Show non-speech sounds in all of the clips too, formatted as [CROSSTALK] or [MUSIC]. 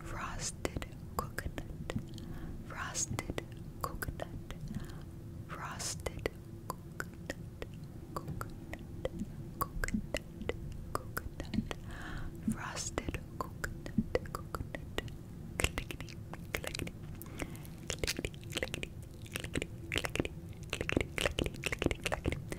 frosted coconut, frosted coconut, frosted coconut, coconut, coconut, coconut, frosted coconut, coconut, clickety, clickety, clickety, clickety, clickety, clickety, clickety, clickety, clickety, clickety.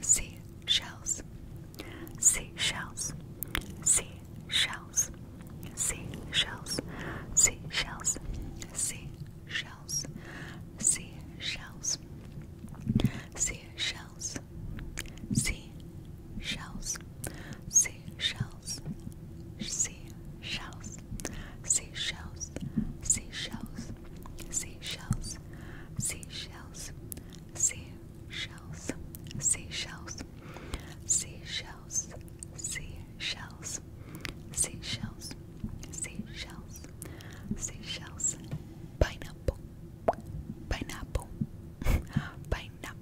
Sea shells, sea shells, sea shells, sea shells, sea shells, sea shells, sea shells, sea shells, sea shells, sea shells, sea shells, seashells, seashells, seashells, seashells, seashells, seashells, seashells, seashells, seashells, seashells, seashells, pineapple, pineapple, [LAUGHS] pineapple.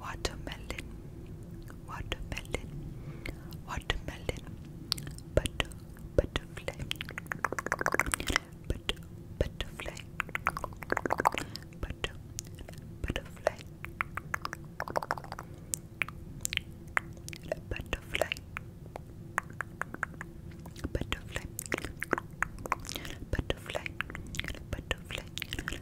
watermelon, watermelon, watermelon, butter, butterfly, butter, butterfly, butter, butterfly, butterfly, butterfly, butterfly, butterfly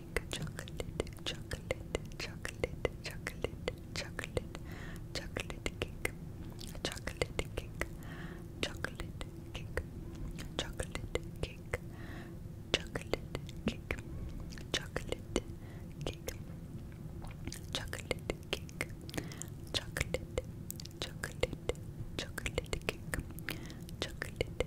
chocolate, chocolate, chocolate, chocolate, chocolate, chocolate cake, chocolate cake, chocolate cake, chocolate cake, chocolate cake, chocolate cake, chocolate cake, chocolate, chocolate, chocolate cake, chocolate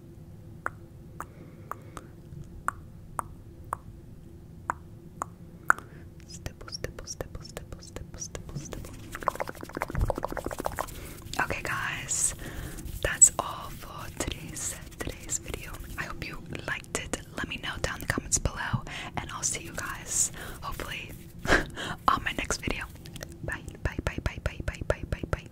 Stipple, stipple, stipple, stipple, stipple, stipple, stipple. Okay, guys, that's all for today's today's video. I hope you liked it. Let me know down in the comments below, and I'll see you guys hopefully [LAUGHS] on my next video. Bye, bye, bye, bye, bye, bye, bye, bye, bye.